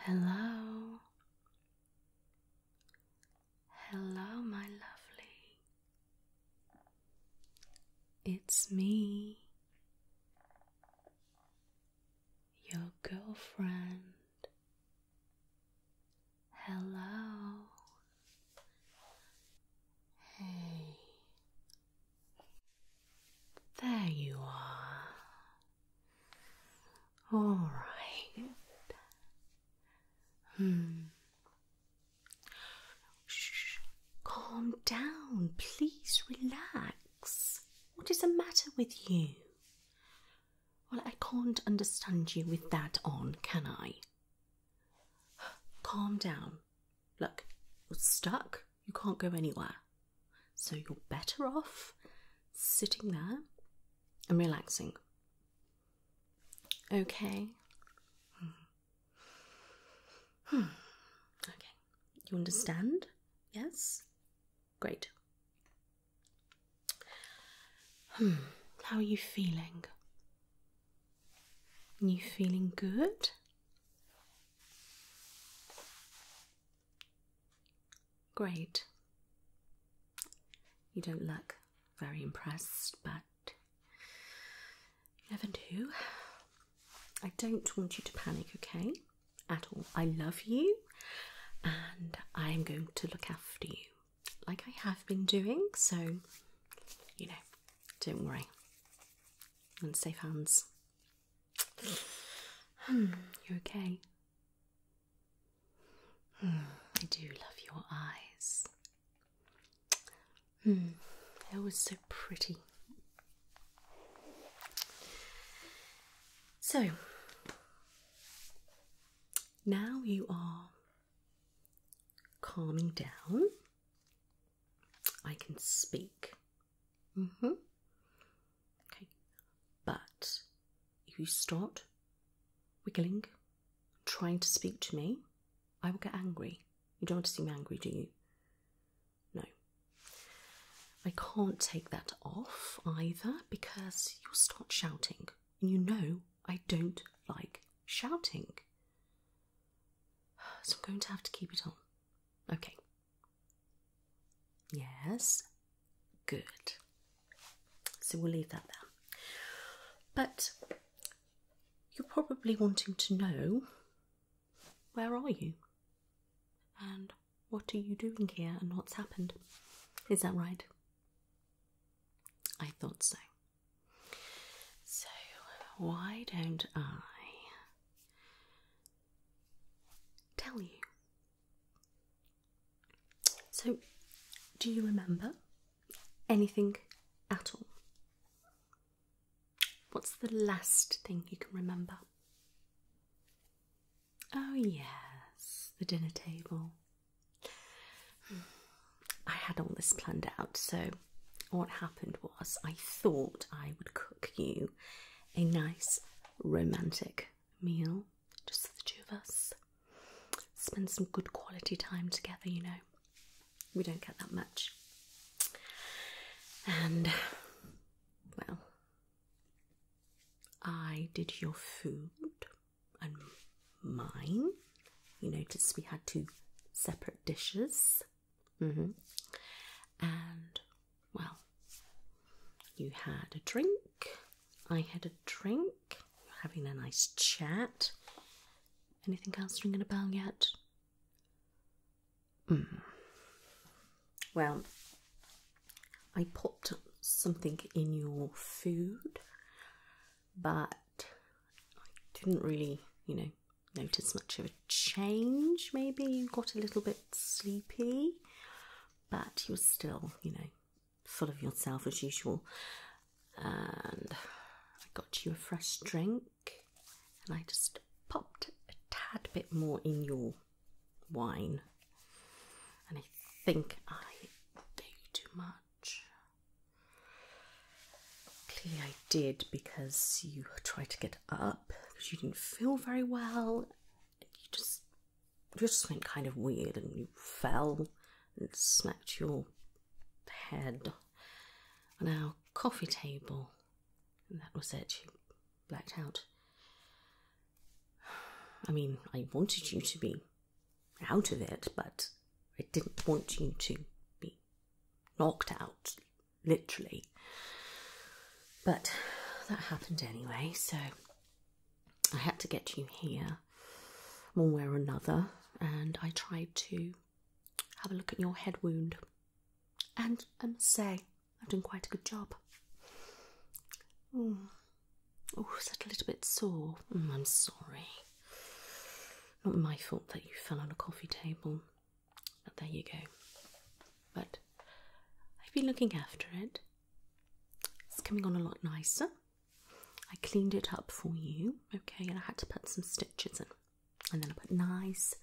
Hello, hello, my lovely. It's me, your girlfriend. Hello. Hey. There you are. All right. Hmm. Shh. Calm down. Please relax. What is the matter with you? Well, I can't understand you with that on, can I? Calm down. Look, you're stuck. You can't go anywhere. So you're better off sitting there and relaxing. Okay. Hmm. Okay. You understand? Yes? Great. Hmm, how are you feeling? Are you feeling good? Great. You don't look very impressed, but you never do. I don't want you to panic, okay? At all. I love you and I am going to look after you like I have been doing, so you know, don't worry. And safe hands. Hmm, You're okay? Hmm, I do love your eyes. Hmm, was so pretty. So, now you are calming down. I can speak. hmm. Okay. But if you start wiggling, trying to speak to me, I will get angry. You don't want to seem angry, do you? No. I can't take that off either because you'll start shouting and you know I don't like shouting. So I'm going to have to keep it on. Okay. Yes. Good. So we'll leave that there. But you're probably wanting to know where are you? And what are you doing here and what's happened? Is that right? I thought so. So, why don't I tell you? So, do you remember anything at all? What's the last thing you can remember? Oh, yes, the dinner table. I had all this planned out, so what happened was I thought I would cook you a nice romantic meal, just the two of us. Spend some good quality time together, you know. We don't get that much. And, well, I did your food and mine. You noticed we had two separate dishes. Mm-hmm. And, well, you had a drink, I had a drink, you're having a nice chat. Anything else ringing a bell yet? Hmm. Well, I put something in your food but I didn't really, you know, notice much of a change. Maybe you got a little bit sleepy, but you were still, you know, full of yourself as usual. And I got you a fresh drink, and I just popped a tad bit more in your wine. And I think I gave you too much. Clearly, I did because you tried to get up because you didn't feel very well. You just, you just went kind of weird and you fell and smacked your head on our coffee table, and that was it. You blacked out. I mean, I wanted you to be out of it, but I didn't want you to be knocked out, literally. But that happened anyway, so I had to get you here one way or another, and I tried to have a look at your head wound. And I must say, I've done quite a good job. Hmm. Oh, is that a little bit sore? Mm, I'm sorry. Not my fault that you fell on a coffee table. But oh, there you go. But I've been looking after it. It's coming on a lot nicer. I cleaned it up for you, okay, and I had to put some stitches in. And then I put nice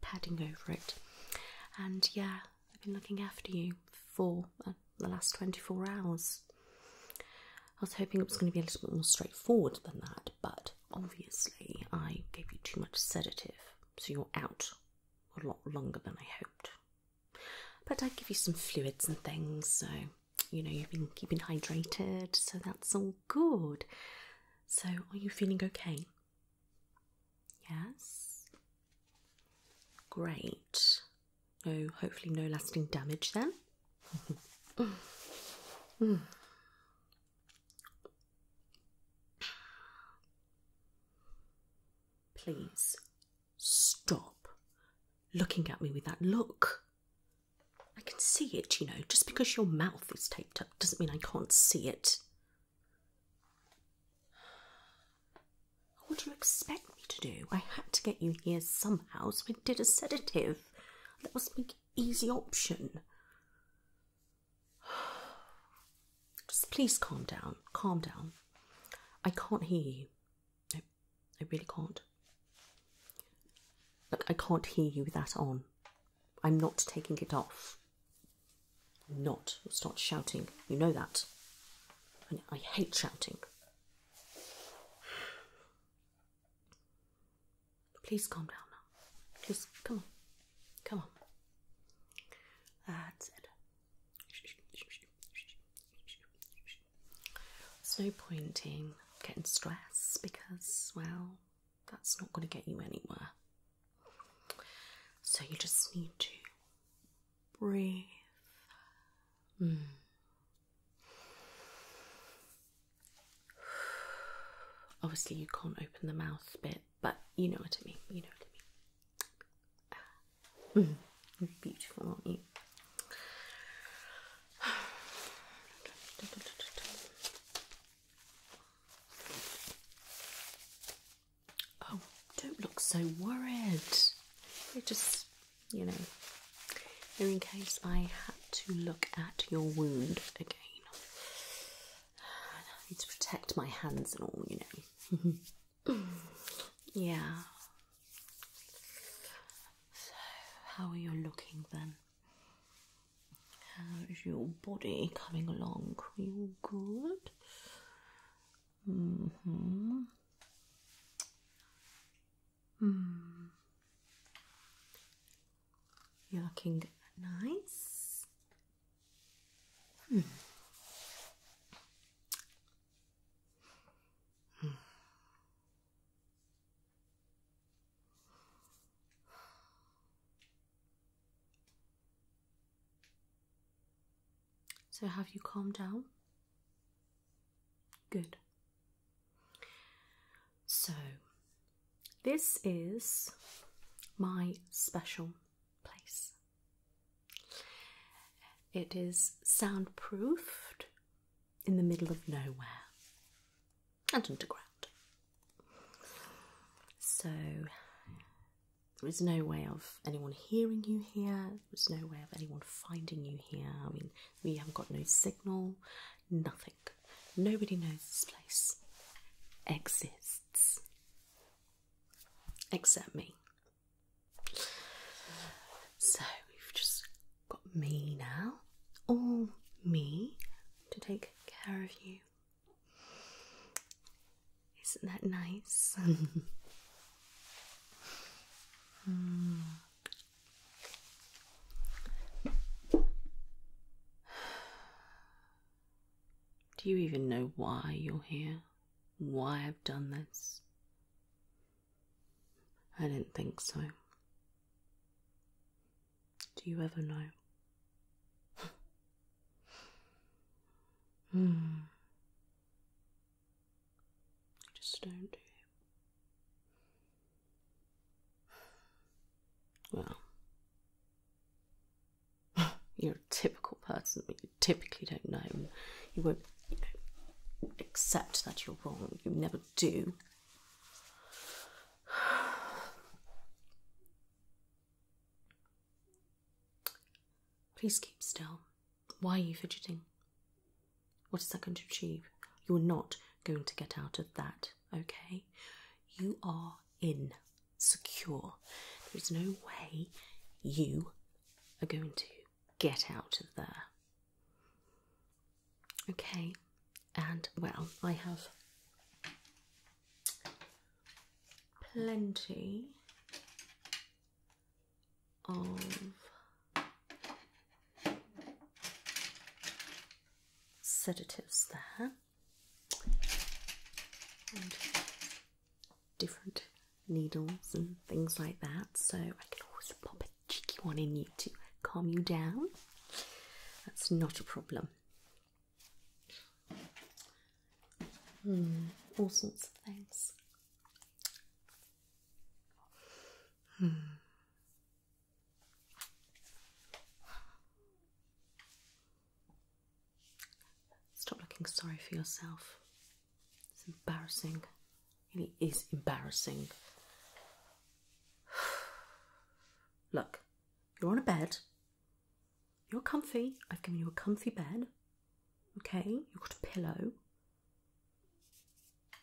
padding over it. And yeah, I've been looking after you for the last 24 hours. I was hoping it was going to be a little bit more straightforward than that, but obviously I gave you too much sedative, so you're out a lot longer than I hoped. But I give you some fluids and things, so you know you've been keeping hydrated, so that's all good. So, are you feeling okay? Yes. Great. Oh, hopefully, no lasting damage then. Hmm. Please stop looking at me with that look. I can see it, you know. Just because your mouth is taped up doesn't mean I can't see it. What do you expect me to do? I had to get you here somehow, so I did a sedative. That was my easy option. Just please calm down. Calm down. I can't hear you. No, I really can't. Look, I can't hear you with that on. I'm not taking it off. I'm not. i start shouting. You know that. I hate shouting. Please calm down now. Just come on. Come on. That's it. There's no point in getting stressed because, well, that's not going to get you anywhere. So you just need to breathe Mm. Obviously, you can't open the mouth bit, but you know what I mean. You know what I mean. Mm. Beautiful, aren't you? Oh, don't look so worried. just you know, in case I had to look at your wound again. I need to protect my hands and all, you know. yeah. So, how are you looking then? How is your body coming along? Are you good? hmm. Hmm. You're looking nice. Hmm. So, have you calmed down? Good. So, this is my special place. It is soundproofed in the middle of nowhere and underground. So, there is no way of anyone hearing you here, there's no way of anyone finding you here. I mean, we haven't got no signal, nothing. Nobody knows this place exists except me. So we've just got me now, all me, to take care of you. Isn't that nice? Hmm. Do you even know why you're here? Why I've done this? I didn't think so. Do you ever know? Hmm. I just don't do it. Well, you're a typical person, you typically don't know. You won't accept that you're wrong. You never do. Please keep still. Why are you fidgeting? What is that going to achieve? You're not going to get out of that, okay? You are insecure. There is no way you are going to get out of there. Okay, and well, I have plenty of sedatives there different needles and things like that so I can always pop a cheeky one in you to calm you down that's not a problem hmm, all sorts of things hmm. Stop looking sorry for yourself. It's embarrassing. It is embarrassing. Look, you're on a bed. You're comfy. I've given you a comfy bed. Okay, you've got a pillow.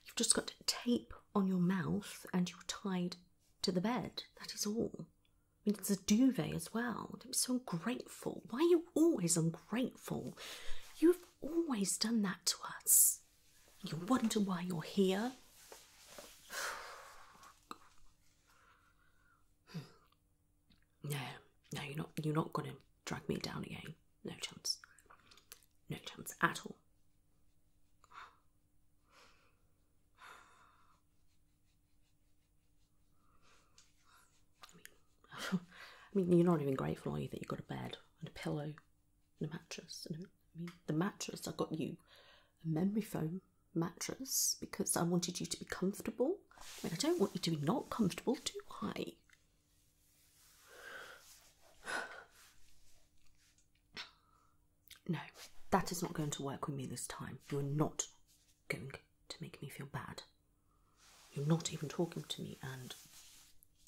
You've just got tape on your mouth and you're tied to the bed. That is all. I mean, it's a duvet as well. I'm so ungrateful. Why are you always ungrateful? You've always done that to us. You wonder why you're here. Hmm. No, no, you're not. You're not gonna drag me down again. No chance. No chance at all. I mean, you're not even grateful, are you, that you got a bed and a pillow and a mattress? And a, I mean, the mattress, I got you a memory foam mattress because I wanted you to be comfortable. I mean, I don't want you to be not comfortable, do I? No, that is not going to work with me this time. You're not going to make me feel bad. You're not even talking to me and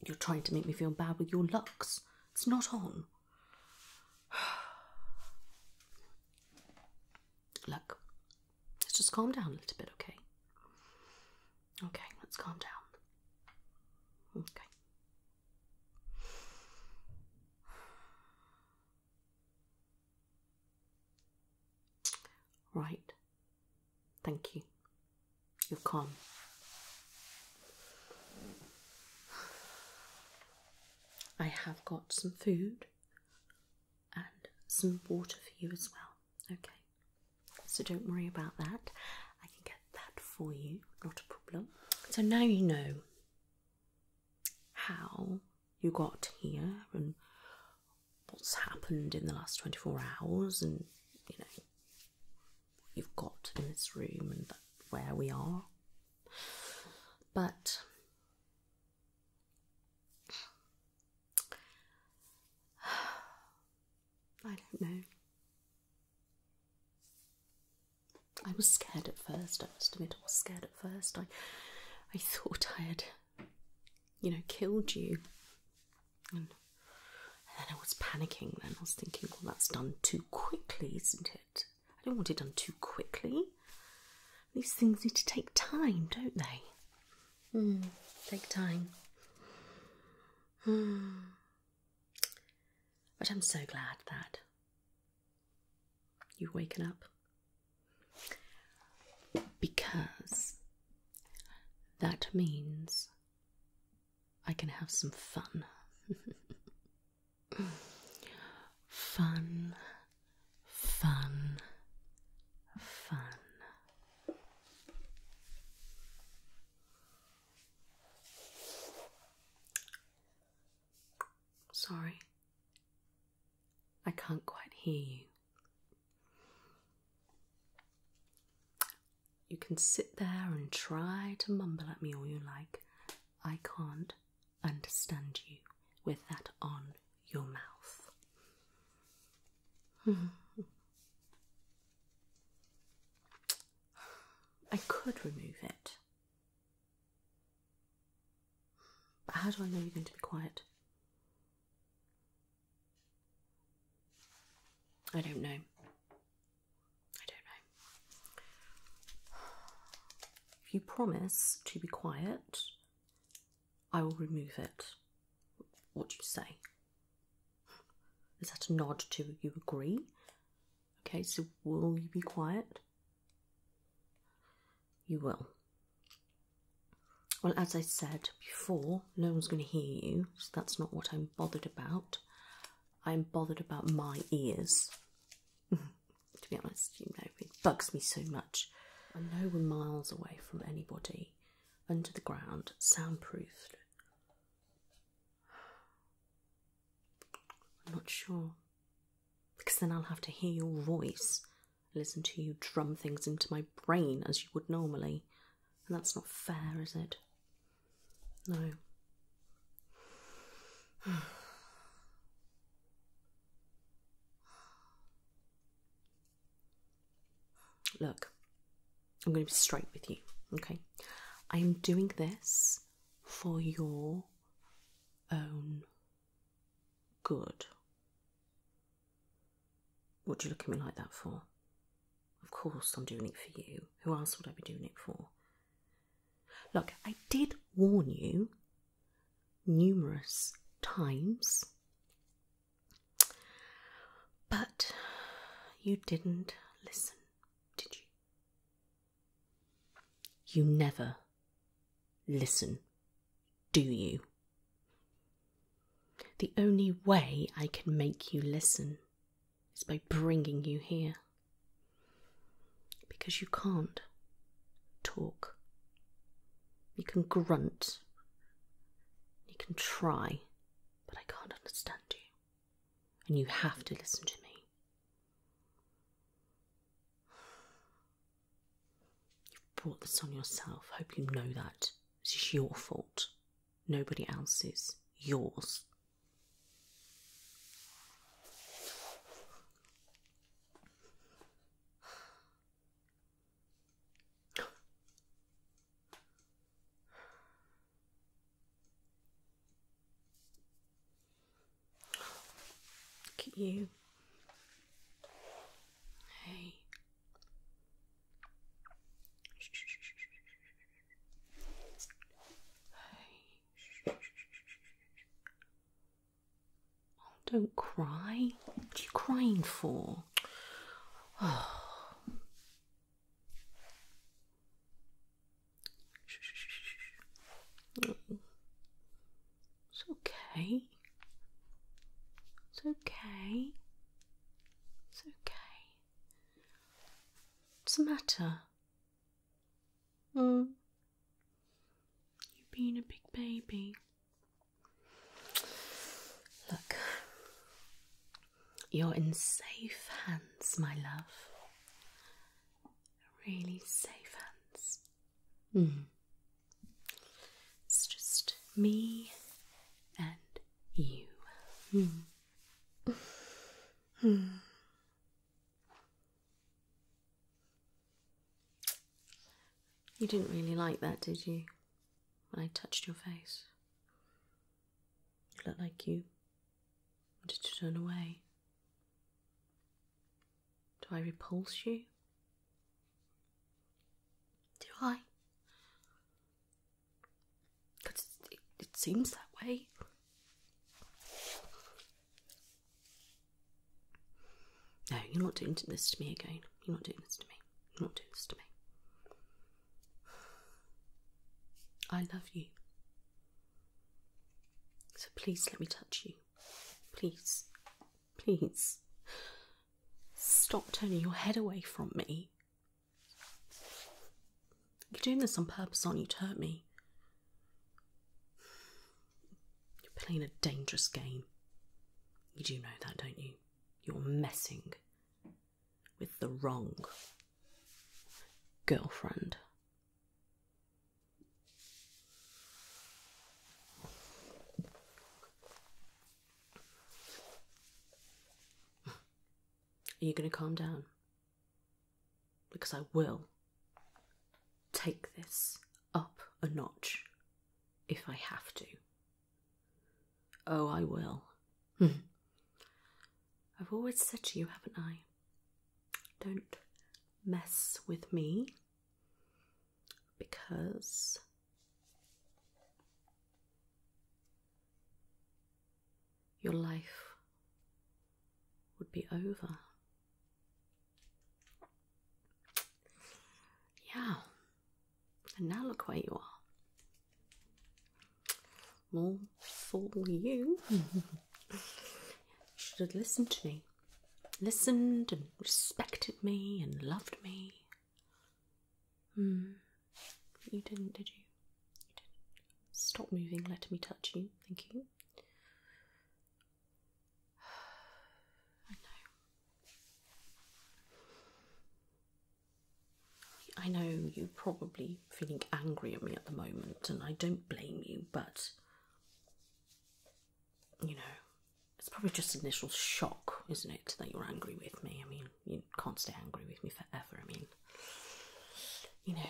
you're trying to make me feel bad with your looks. It's not on. Look, let's just calm down a little bit, okay? Okay, let's calm down. Okay. Right. Thank you. You're calm. I have got some food and some water for you as well. Okay so don't worry about that. I can get that for you, not a problem. So now you know how you got here and what's happened in the last 24 hours, and you know you've got in this room and where we are. But I don't know. I was scared at first, I must admit I was scared at first. I I thought I had you know, killed you. And, then I was panicking then. I was thinking, well that's done too quickly, isn't it? I don't want it done too quickly. These things need to take time, don't they? Hmm, take time. Mm. But I'm so glad that you've woken up because that means I can have some fun. fun, fun, fun. Sorry, I can't quite hear you. You can sit there and try to mumble at me all you like. I can't understand you with that on your mouth. I could remove it. But how do I know you're going to be quiet? I don't know. I don't know. If you promise to be quiet, I will remove it. What do you say? Is that a nod to you agree? Okay, so will you be quiet? You will. Well, as I said before, no one's going to hear you, so that's not what I'm bothered about. I'm bothered about my ears. to be honest, you know, it bugs me so much. I know we're miles away from anybody, under the ground, soundproofed. I'm not sure. Because then I'll have to hear your voice, listen to you drum things into my brain as you would normally. And that's not fair, is it? No. Look, I'm going to be straight with you, okay? I am doing this for your own good. What do you look at me like that for? Of course, I'm doing it for you. Who else would I be doing it for? Look, I did warn you numerous times, but you didn't listen, did you? You never listen, do you? The only way I can make you listen is by bringing you here. Because you can't talk. You can grunt. You can try, but I can't understand you and you have to listen to me. You've brought this on yourself. Hope you know that. This is your fault, nobody else's, yours. Look at you. Hey. Hey. Oh, don't cry. What are you crying for? Oh. It's okay. It's okay. It's okay. What's the matter? Mm. You've been a big baby. Look, you're in safe hands, my love. Really safe hands. Mm. It's just me and you. Mm. Mm. You didn't really like that, did you? When I touched your face, you looked like you did you turn away? Do I repulse you? Do I? Because it seems that way. No, you're not doing this to me again. You're not doing this to me. You're not doing this to me. I love you. So please let me touch you. Please. Please. Stop turning your head away from me. You're doing this on purpose, aren't you, to hurt me? You're playing a dangerous game. You do know that, don't you? You're messing with the wrong girlfriend. Are you going to calm down? Because I will take this up a notch if I have to. Oh, I will. I've always said to you, haven't I? Don't mess with me because your life would be over. Yeah, and now look where you are. Well, for you. you should have listened to me. Listened and respected me and loved me. Hmm. You didn't, did you? You didn't. Stop moving, let me touch you. Thank you. I know. I know you probably feeling angry at me at the moment, and I don't blame you, but you know, it's probably just initial shock, isn't it, that you're angry with me? I mean, you can't stay angry with me forever. I mean, you know,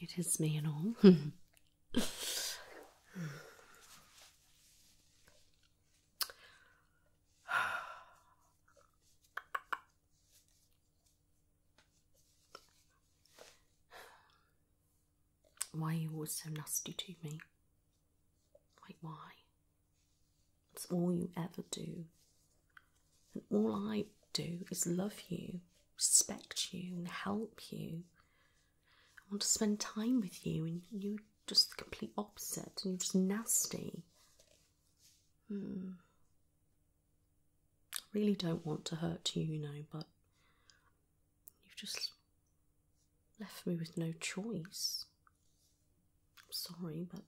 it is me and all. Hmm. Why are you always so nasty to me? Like, why? It's all you ever do. And all I do is love you, respect you, and help you. I want to spend time with you, and you're just the complete opposite, and you're just nasty. Hmm. I really don't want to hurt you, you know, but you've just left me with no choice. I'm sorry, but.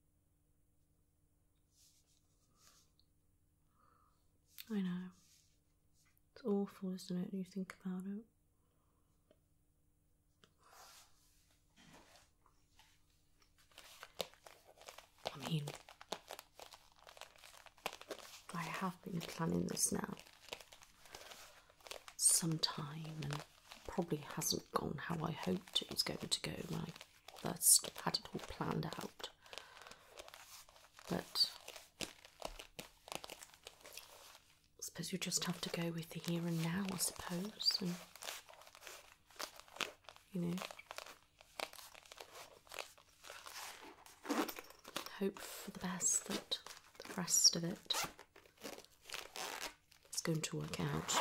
I know. It's awful, isn't it, when you think about it? I mean, I have been planning this now some time and probably hasn't gone how I hoped it was going to go when I first had it all planned out. But I suppose you just have to go with the here and now, I suppose, you know. Hope for the best that the rest of it is going to work out.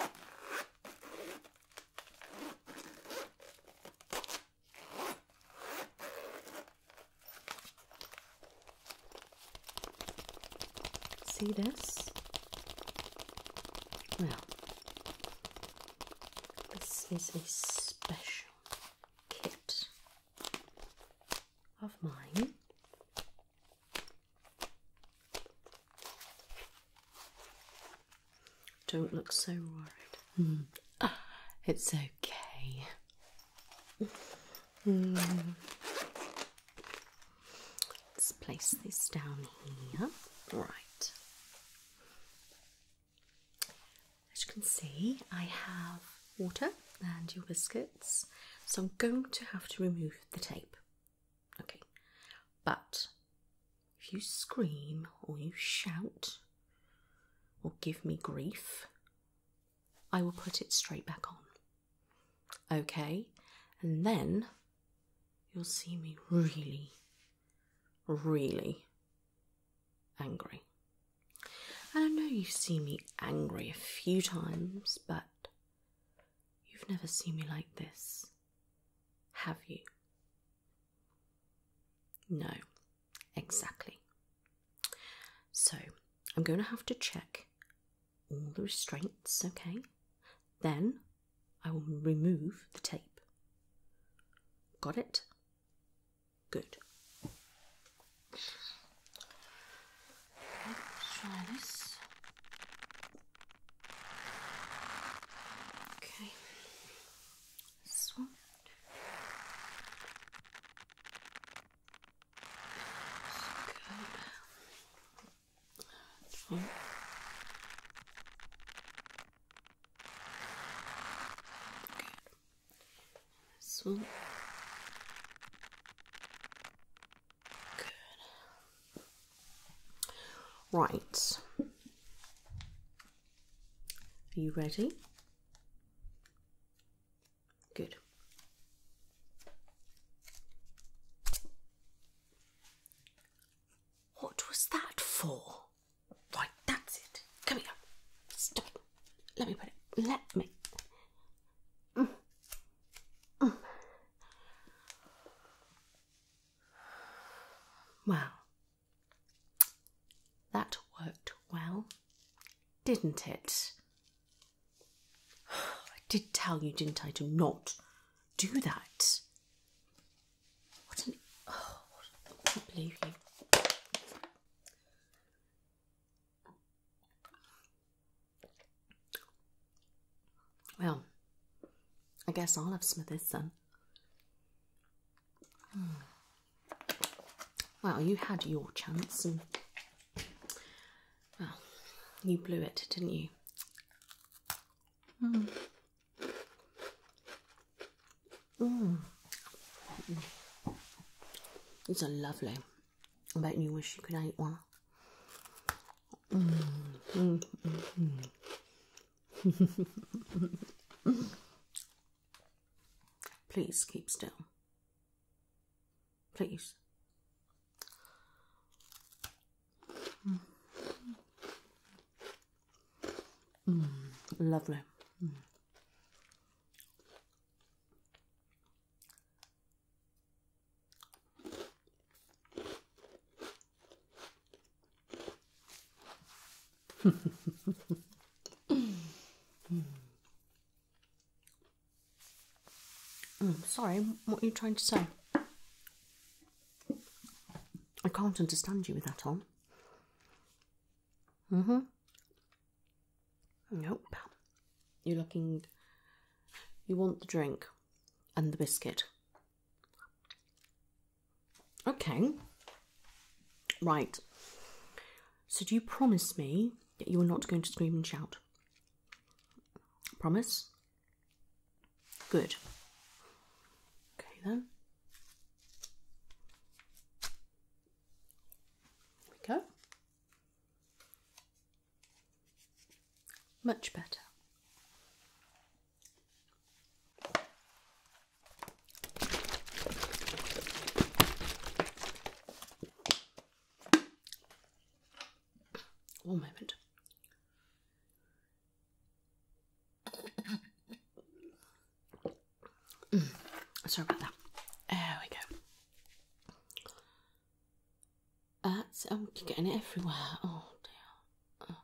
See this? Well, this is a special kit of mine. Don't look so worried. Hmm. Ah, it's okay. Hmm. Let's place this down here. Right. As you can see, I have water and your biscuits, so I'm going to have to remove the tape. Okay, but if you scream or you shout or give me grief, I will put it straight back on. Okay, and then you'll see me really, really angry. I know you've seen me angry a few times, but you've never seen me like this, have you? No, exactly. So, I'm going to have to check all the restraints, okay? Then I will remove the tape. Got it? Good. Let's try this. Okay. This one and Good. Right. Are you ready? Good. What was that for? Right, that's it. Come here. Stop it. Let me put it. Let me. Mm. mm. Well, that worked well, didn't it? I did tell you, didn't I, to not do that. What an oh, I can't Well, I guess I'll have some of this then. Hmm. Well, you had your chance and well, you blew it, didn't you? Mm. Mm. These are lovely. I bet you wish you could eat one. Please keep still. Please. Lovely. Mm. Mm, sorry, what are you trying to say? I can't understand you with that on. Mm hmm. Nope. You're looking. You want the drink and the biscuit. Okay. Right. So, do you promise me that you are not going to scream and shout? Promise? Good. Okay, then. There we go. Much better. One moment. Mm. sorry about that. There we go. That's I'm um, getting it everywhere. Oh dear.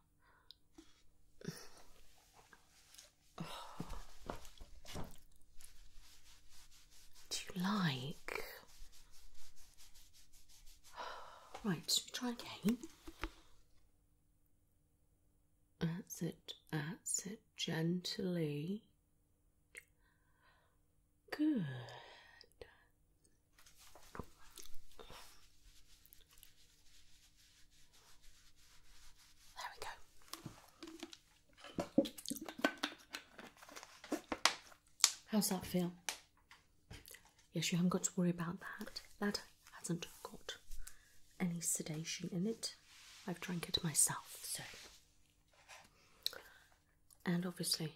Do you like? Right, try again? That's it, that's it, gently. Good. There we go. How's that feel? Yes, you haven't got to worry about that. That hasn't got any sedation in it. I've drank it myself, so. And obviously,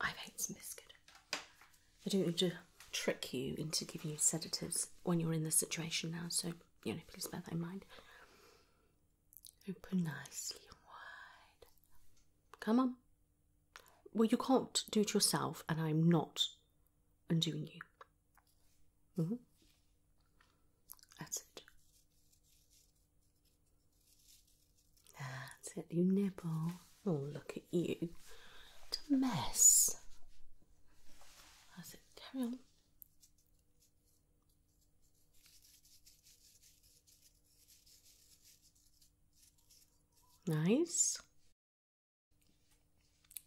I've ate some biscuit. I don't need to trick you into giving you sedatives when you're in this situation now, so, you know, please bear that in mind. Open nicely wide. Come on. Well, you can't do it yourself, and I'm not undoing you. Mm-hmm. That's it. That's it. You nibble. Oh, look at you. a mess. That's it. Carry on. Nice.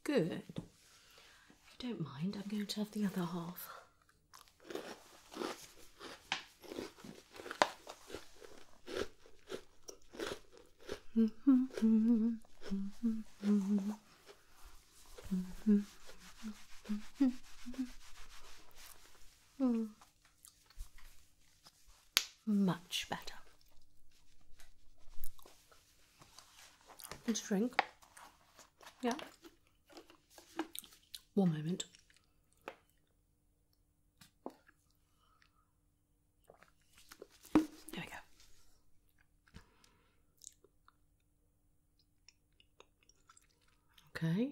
Good. If you don't mind, I'm going to have the other half. Much better. And drink. Yeah. One moment. There we go. Okay. Okay,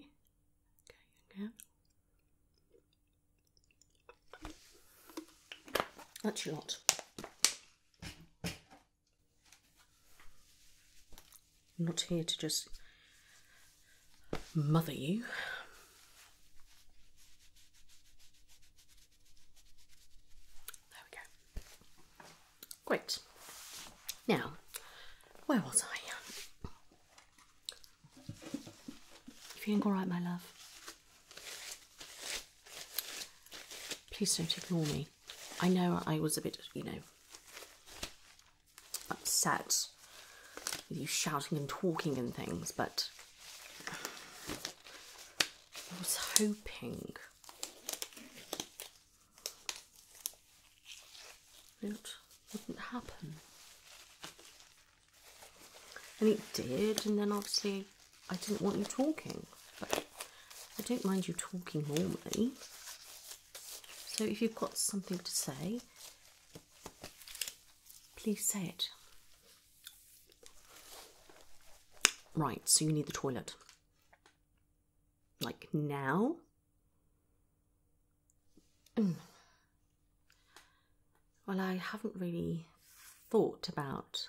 okay. That's a lot. I'm not here to just mother you. There we go. Great. Now, where was I? You feeling all right, my love? Please don't ignore me. I know I was a bit, you know, upset with you shouting and talking and things, but I was hoping. It wouldn't happen. And it did, and then obviously I didn't want you talking. But I don't mind you talking normally. So if you've got something to say, please say it. Right, so you need the toilet. Like now? Well, I haven't really thought about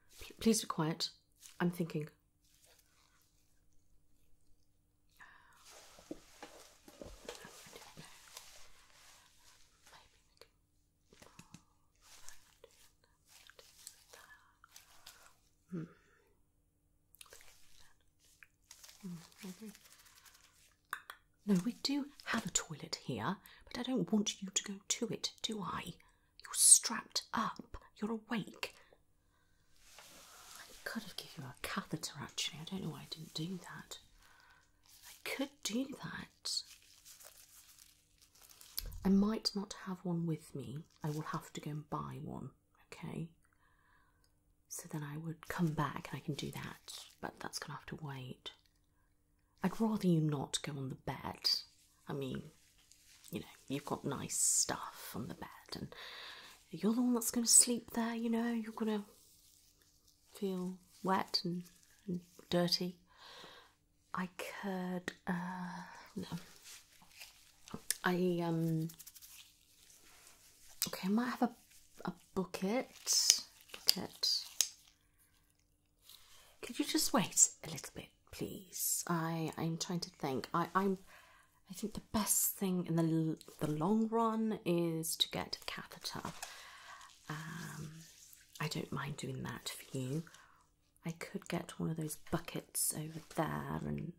please be quiet. I'm thinking. No, we do have a toilet here, but I don't want you to go to it, do I? You're strapped up. You're awake. I could have given you a catheter actually. I don't know why I didn't do that. I could do that. I might not have one with me. I will have to go and buy one, okay? So then I would come back and I can do that, but that's going to have to wait. I'd rather you not go on the bed. I mean, you know, you've got nice stuff on the bed, and you're the one that's going to sleep there, you know, you're going to feel wet and, dirty. I could, uh, no. I, um, okay, I might have a, a bucket. Bucket. Could you just wait a little bit, please? I am trying to think. I am I think the best thing in the the long run is to get a catheter. Um, I don't mind doing that for you. I could get one of those buckets over there and,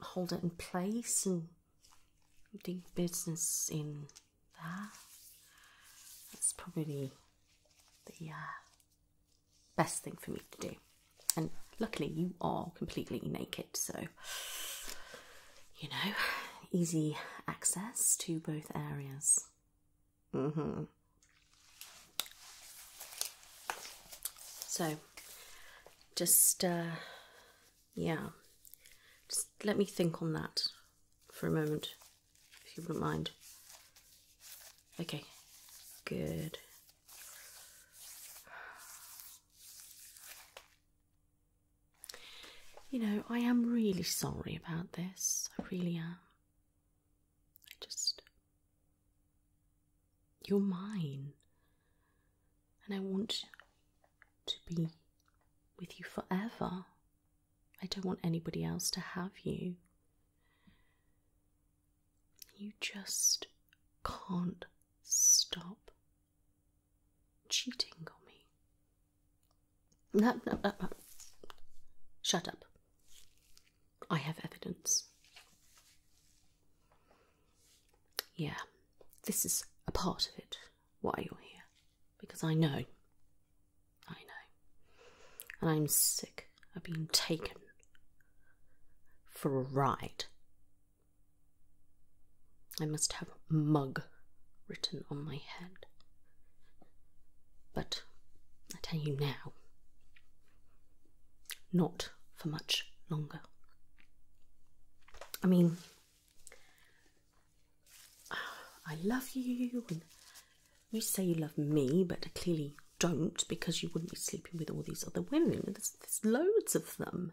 hold it in place and do business in that. That's probably the best thing for me to do. And luckily, you are completely naked, so you know, easy access to both areas. Mm-hmm. So, just, uh, yeah, just let me think on that for a moment if you wouldn't mind. Okay, good. You know, I am really sorry about this. I really am. I just. You're mine. And I want to be with you forever. I don't want anybody else to have you. You just can't stop cheating on me. Shut up. I have evidence. Yeah, this is a part of it why you're here, because I know I know. And I'm sick of being taken for a ride. I must have mug written on my head. But I tell you now, not for much longer. I mean, I love you you say you love me, but clearly don't because you wouldn't be sleeping with all these other women. There's, loads of them.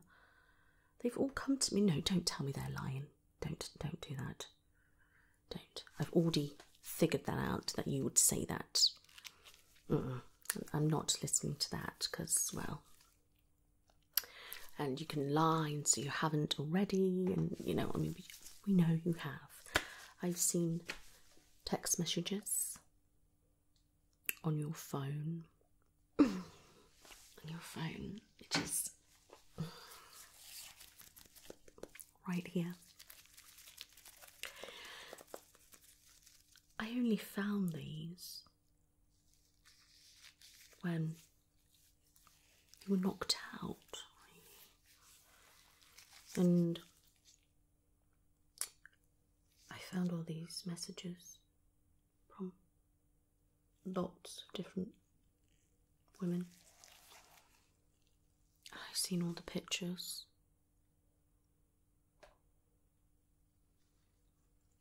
They've all come to me. No, don't tell me they're lying. Don't, don't do that. Don't. I've already figured that out that you would say that. I'm not listening to that because, well, and you can lie and so you haven't already, and you know, I mean, we know you have. I've seen text messages on your phone. on your phone, which is right here. I only found these when you were knocked out. And I found all these messages from lots of different women. I've seen all the pictures.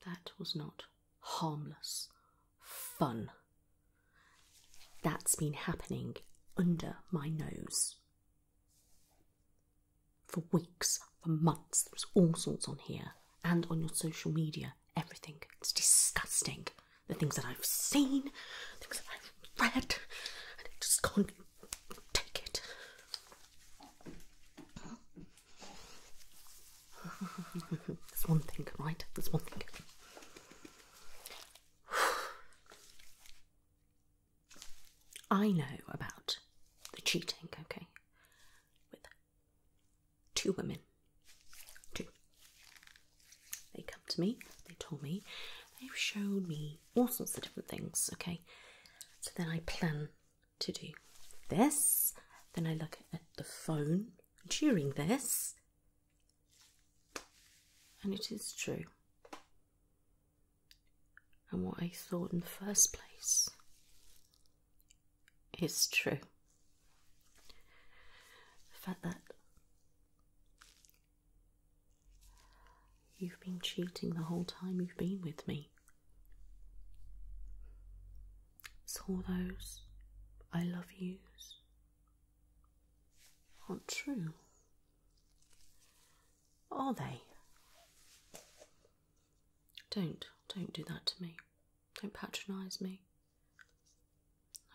That was not harmless fun that's been happening under my nose. For weeks, for months, there's all sorts on here and on your social media, everything. It's disgusting. The things that I've seen, the things that I've read, I just can't take it. There's one thing, right? There's one thing. I know about the cheating, okay, with two women. Two. They come to me, they told me, they've shown me all sorts of different things, okay. So then I plan to do this, then I look at the phone during this, and it is true. And what I thought in the first place is true. The fact that you've been cheating the whole time you've been with me. It's all those I love yous aren't true. Are they? Don't, don't do that to me. Don't patronise me.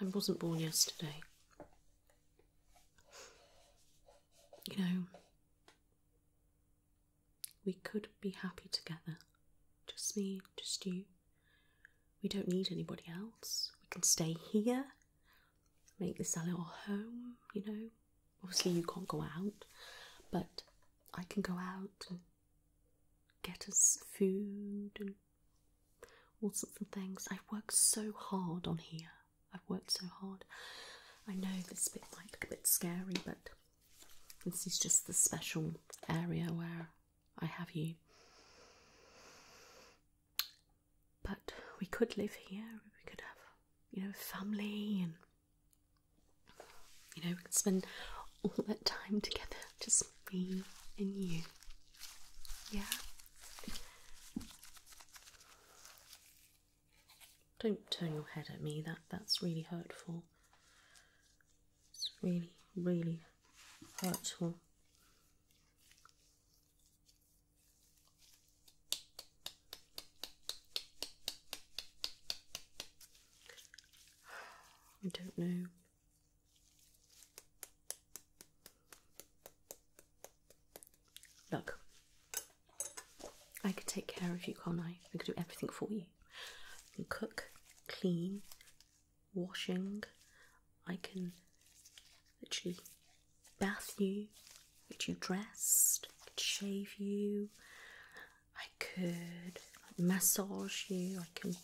I wasn't born yesterday. You know, we could be happy together. Just me, just you. We don't need anybody else. We can stay here make this a little home, you know. Obviously, you can't go out, but I can go out and get us food and all sorts of things. I've worked so hard on here. I've worked so hard. I know this bit might look a bit scary, but this is just the special area where I have you. But we could live here. We could have, you know, family and you know, we could spend all that time together, just me and you. Yeah. Don't turn your head at me. That that's really hurtful. It's really, really hurtful. I don't know. Look, I could take care of you, can't I? I could do everything for you. I can cook, clean, washing. I can literally bath you, get you dressed, could shave you, I could massage you, I can,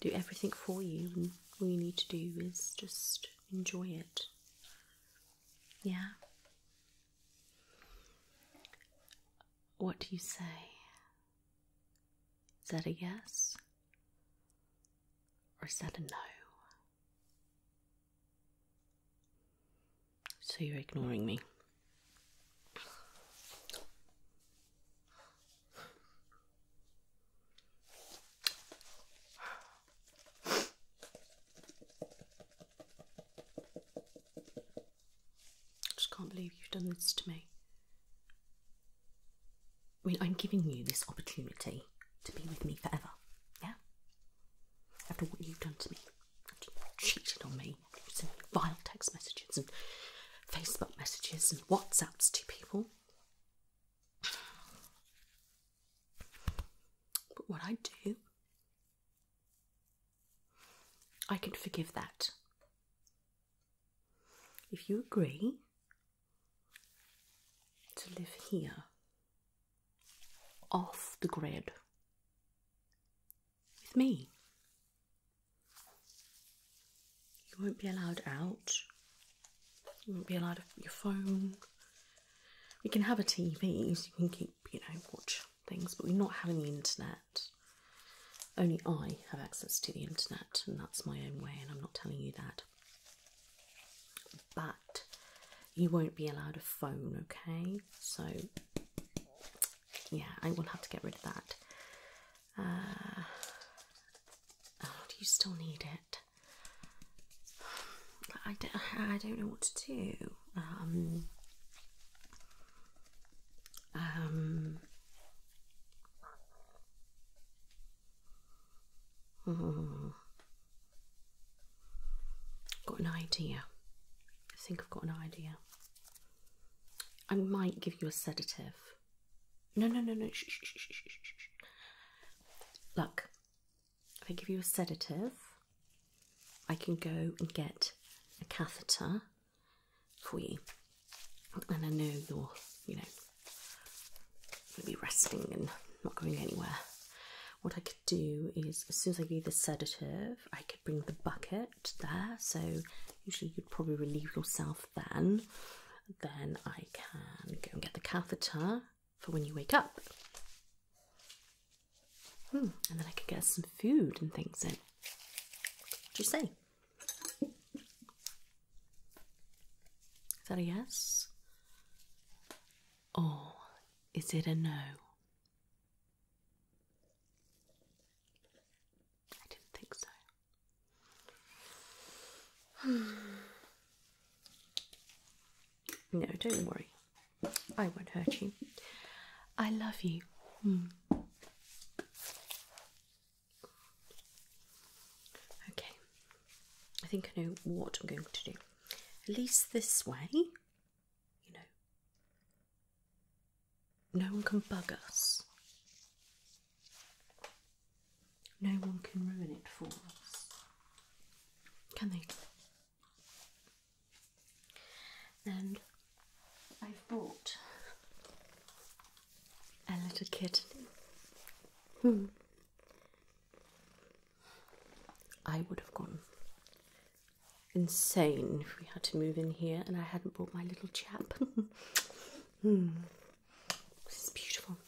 do everything for you, all you need to do is just enjoy it. Yeah? What do you say? Is that a yes? or is that a no? So you're ignoring me. I just can't believe you've done this to me. I mean, I'm giving you this opportunity to be with me forever, yeah? After what you've done to me, after you on me, sending me vile text messages and Facebook messages and WhatsApps to people. But what I do, I can forgive that. If you agree to live here off the grid with me. You won't be allowed out. You won't be allowed your phone. We can have a TV so you can keep, you know, watch things, but we're not having the internet. Only I have access to the internet, and that's my own way, and I'm not telling you that but you won't be allowed a phone, okay? So, yeah, I will have to get rid of that. Uh, oh, do you still need it? I don't, I don't know what to do. um, um Mm. Got an idea. I think I've got an idea. I might give you a sedative. No, no, no, no. Shh, shh, shh, shh, shh, shh. Look, if I give you a sedative, I can go and get a catheter for you. And I know you're, you know, Maybe resting and not going anywhere. What I could do is, as soon as I give the sedative, I could bring the bucket there. So usually you'd probably relieve yourself then. Then I can go and get the catheter for when you wake up. Hmm, and then I could get some food and things in. What do you say? Is that a yes? Or is it a no? I didn't think so. no, don't worry. I won't hurt you. I love you. Hmm. Okay, I think I know what I'm going to do. At least this way, you know, no one can bug us. No one can ruin it for us. Can they? And I've bought a little kitten. Hmm. I would have gone insane if we had to move in here and I hadn't brought my little chap. Hmm. This is beautiful.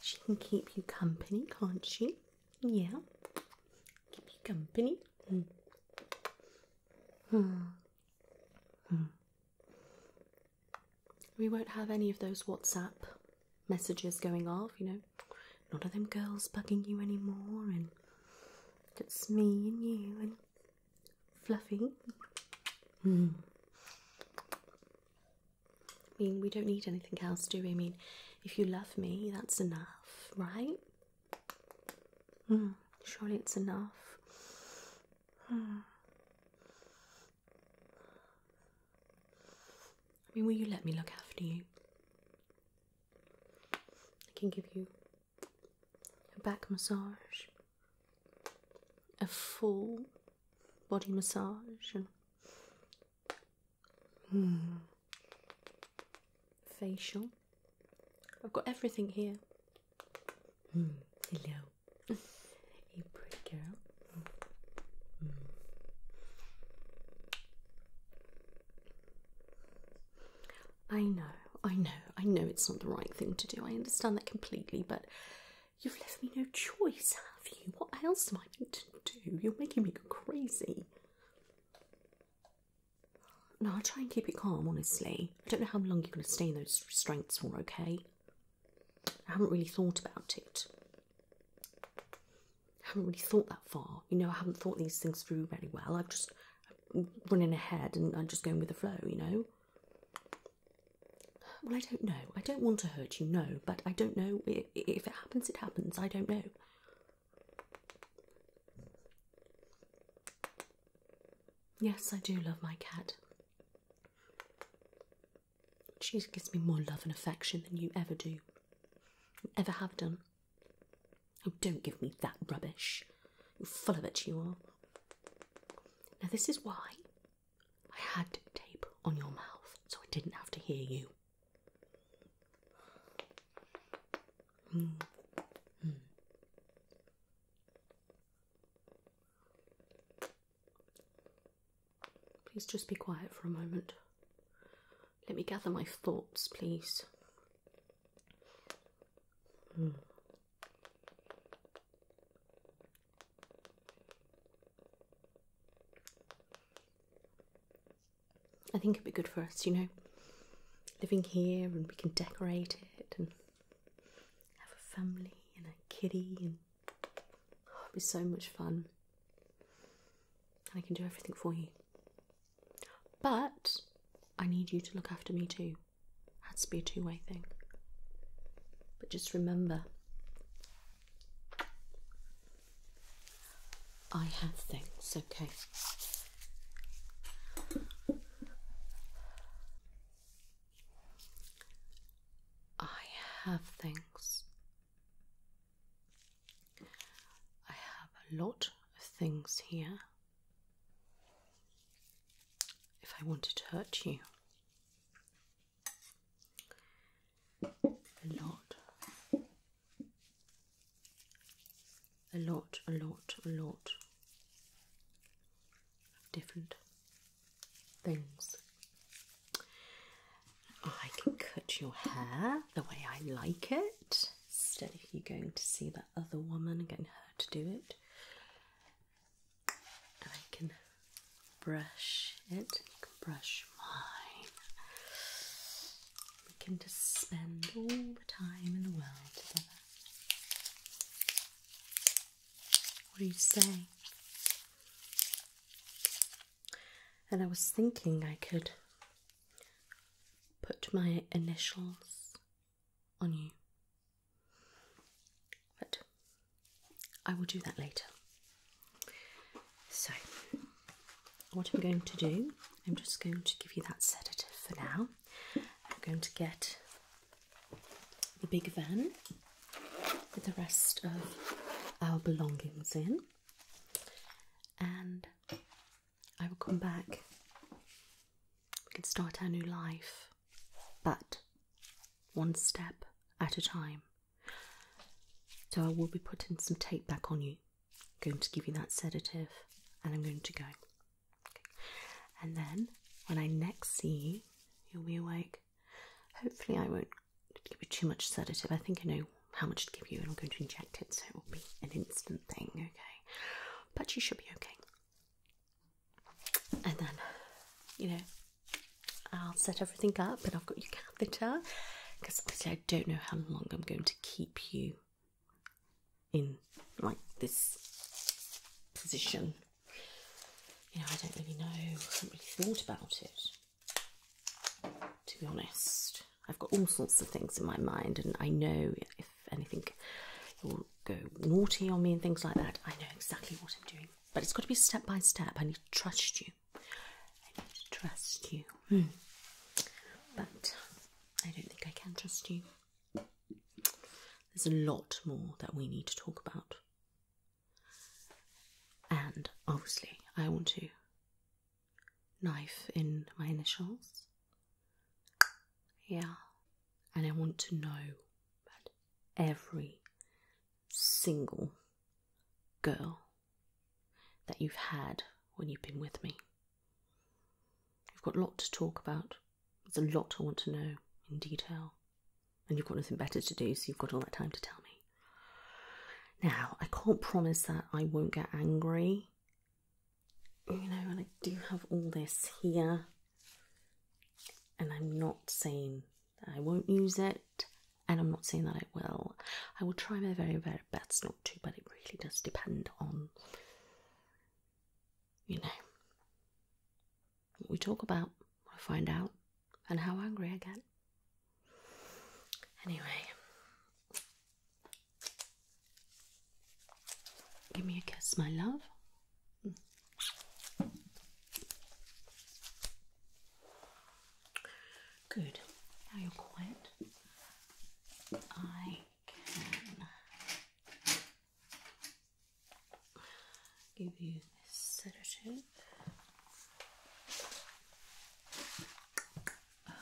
She can keep you company, can't she? Yeah. Keep you company. Hmm. Hmm. We won't have any of those WhatsApp messages going off, you know. None of them girls bugging you anymore, and it's me and you and Fluffy. Mm. I mean, we don't need anything else, do we? I mean, if you love me, that's enough, right? Mm, surely it's enough. Mm. I mean, will you let me look after you? I can give you a back massage, a full body massage, and hmm, facial. I've got everything here. Hmm, hello a pretty girl. I know, I know, I know it's not the right thing to do. I understand that completely, but you've left me no choice, have you? What else am I going to do? You're making me go crazy. No, I'll try and keep it calm, honestly. I don't know how long you're going to stay in those restraints for, okay? I haven't really thought about it. I haven't really thought that far. You know, I haven't thought these things through very well. I've just running ahead and I'm just going with the flow, you know. Well, I don't know. I don't want to hurt you, no, but I don't know. If it happens, it happens. I don't know. Yes, I do love my cat. She gives me more love and affection than you ever do, ever have done. Oh, don't give me that rubbish. You're full of it, you are. Now, this is why I had tape on your mouth so I didn't have to hear you. Please just be quiet for a moment. Let me gather my thoughts, please. Hmm. I think it'd be good for us, you know, living here and we can decorate it and have a family and a kitty and it'll be so much fun. And I can do everything for you. But I need you to look after me too. Had to be a two way thing. But just remember, I have things, okay? I have things. I have a lot of things here. If I wanted to hurt you, a lot, a lot, a lot, a lot different things. I can cut your hair the way I like it instead of you going to see that other woman and getting her to do it. I can brush it, brush mine. We can just spend all the time in the world together. What do you say? and I was thinking I could put my initials on you. But I will do that later. So, what I'm going to do, I'm just going to give you that sedative for now. I'm going to get the big van with the rest of our belongings in, and I will come back. We can start our new life, but one step at a time. So I will be putting some tape back on you. going to give you that sedative, and I'm going to go. And then when I next see you, you'll be awake. Hopefully, I won't give you too much sedative. I think I know how much to give you, and I'm going to inject it, so it will be an instant thing, okay? But you should be okay. And then, you know, I'll set everything up, and I've got your catheter because obviously I don't know how long I'm going to keep you in like this position. You know, I don't really know. I haven't really thought about it to be honest. I've got all sorts of things in my mind, and I know if anything will go naughty on me and things like that, I know exactly what I'm doing. But it's got to be step by step. I need to trust you. I need to trust you. Hmm. But I don't think I can trust you. There's a lot more that we need to talk about. And obviously, I want to knife in my initials. Yeah. And I want to know every single girl that you've had when you've been with me. You've got a lot to talk about. There's a lot I want to know in detail. And you've got nothing better to do, so you've got all that time to tell me. Now, I can't promise that I won't get angry. You know, and I do have all this here, and I'm not saying I won't use it, and I'm not saying that I will. I will try my very, very best not to, but it really does depend on, you know, what we talk about. I find out and how angry I get. Anyway, give me a kiss, my love. Good. Now you're quiet. I can give you sedative. Uh,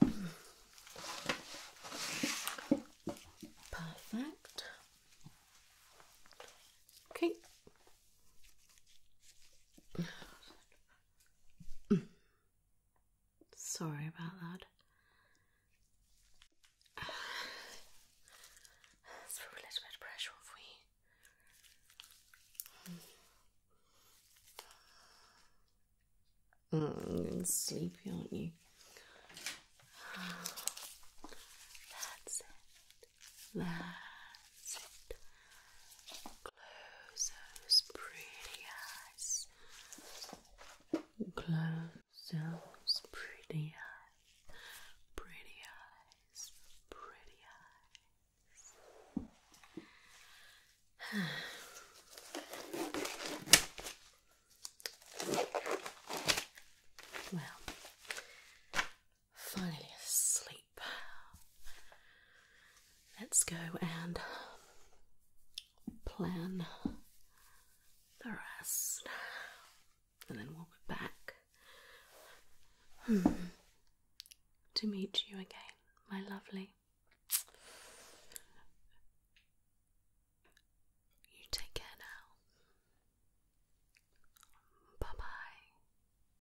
there. Perfect. Okay. Sorry about that. let a little bit pressure on for you. sleepy, aren't you? That's it. That's it. Close those pretty eyes. Close those pretty eyes. Pretty eyes. Pretty eyes. well, finally asleep. Let's go and plan the rest, and then we'll be back hmm. to meet you again, my lovely. You take care now. Bye bye.